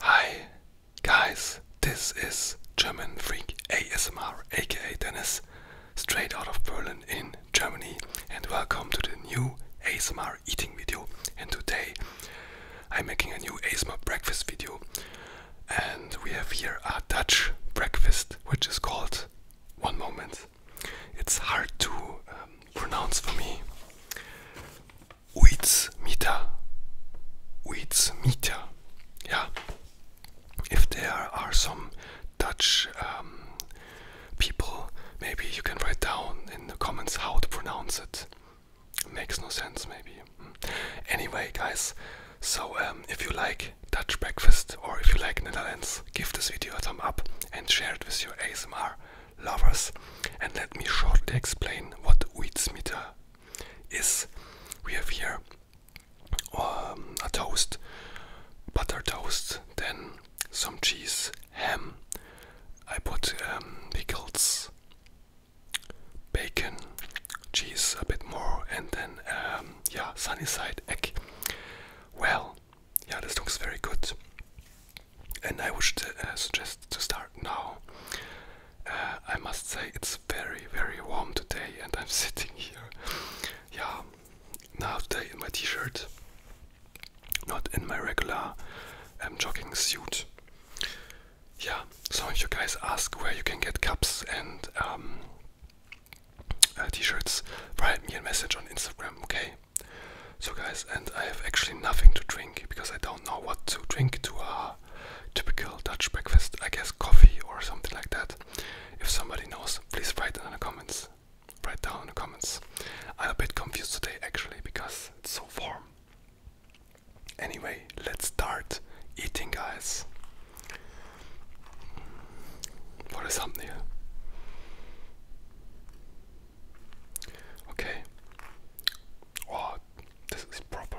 Hi guys, this is German Freak ASMR aka Dennis, straight out of Berlin in Germany, and welcome to the new ASMR eating video. And today I'm making a new ASMR breakfast video. And we have here a Dutch breakfast, which is called one moment. It's hard to um, pronounce for me. Uitmita. Uitmita. Yeah. If there are some Dutch um, people, maybe you can write down in the comments how to pronounce it. Makes no sense, maybe. Hmm. Anyway, guys, so um, if you like Dutch breakfast or if you like Netherlands, give this video a thumb up and share it with your ASMR lovers. And let me shortly explain what Weedsmeter is. We have here um, a toast, butter toast, then some cheese, ham. I put um, pickles, bacon, cheese, a bit more, and then um, yeah, sunny side egg. Well, yeah, this looks very good, and I wish uh, to suggest to start now. Uh, I must say it's very very warm today, and I'm sitting here, yeah, now today in my t-shirt, not in my regular I'm um, jogging suit yeah, so if you guys ask where you can get cups and um, uh, t-shirts, write me a message on Instagram, okay? So guys, and I have actually nothing to drink because I don't know what to drink to a typical Dutch breakfast. I guess coffee or something like that. If somebody knows, please write it in the comments. Write down in the comments. I'm a bit confused today actually because it's so warm. Anyway, let's start eating, guys. What is something here? Okay. Oh, this is proper.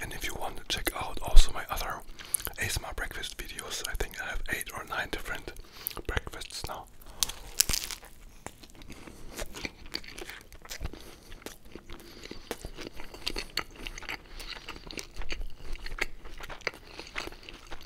And if you want to check out also my other ASMR breakfast videos, I think I have eight or nine different breakfasts now.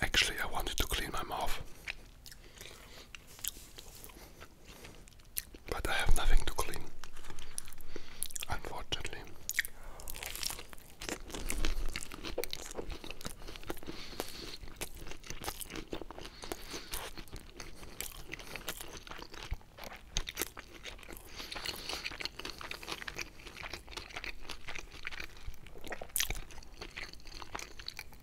Actually, I wanted to clean my mouth but I have nothing to clean, unfortunately.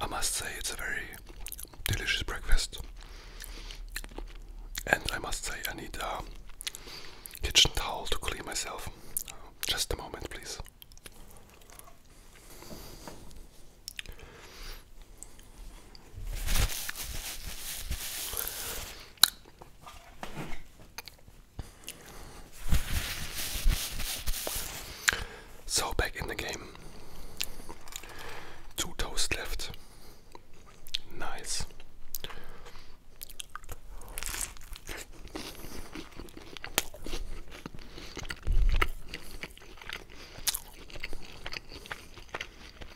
I must say it's a very delicious breakfast, and I must say I need a kitchen towel to clean myself. Just a moment, please. So back in the game. Two toast left. Nice.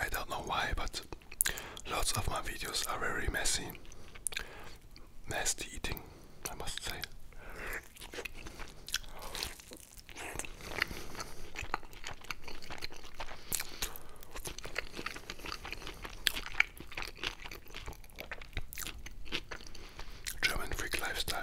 I don't know why, but Lots of my videos are very messy. Nasty eating, I must say. German freak lifestyle.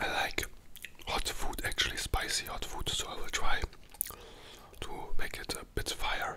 I like hot food, actually spicy hot food, so I will try to make it a bit fire.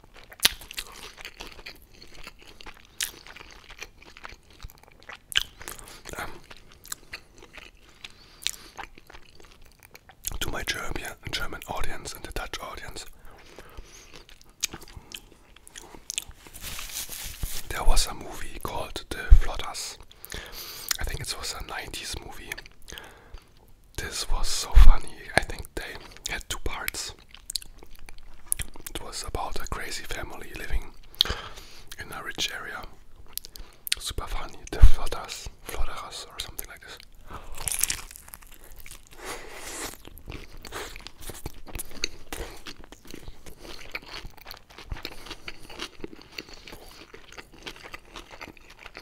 to my German audience and the Dutch audience, there was a movie called The Flodders. I think it was a 90s movie this was so funny. I think they had two parts. It was about a crazy family living in a rich area. Super funny. The Flodders, Flodderas or something like this.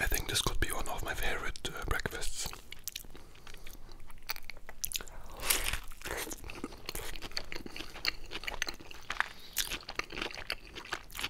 I think this could be one of my favorite uh, breakfasts.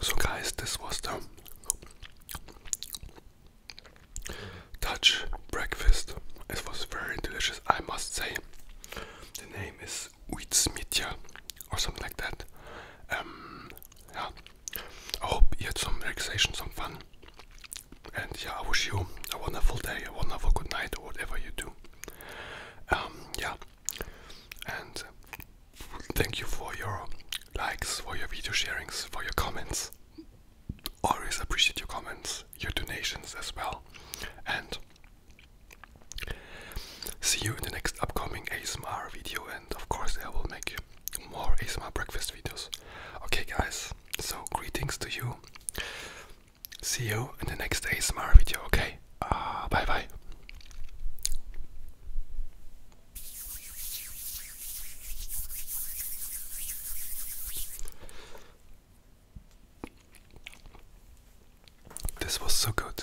So, guys, this was the Dutch breakfast. It was very delicious, I must say. The name is Uitsmitja or something like that. Um, yeah. I hope you had some relaxation, some fun. And yeah, I wish you a wonderful day, a wonderful good night, or whatever you do. Um, yeah, and uh, thank you for your likes, for your video sharings, for your comments. Always appreciate your comments, your donations as well. And see you in the next upcoming ASMR video, and of course, I will make more ASMR breakfast videos. Okay, guys, so, greetings to you. See you in the next ASMR video, okay? Uh, bye bye. This was so good.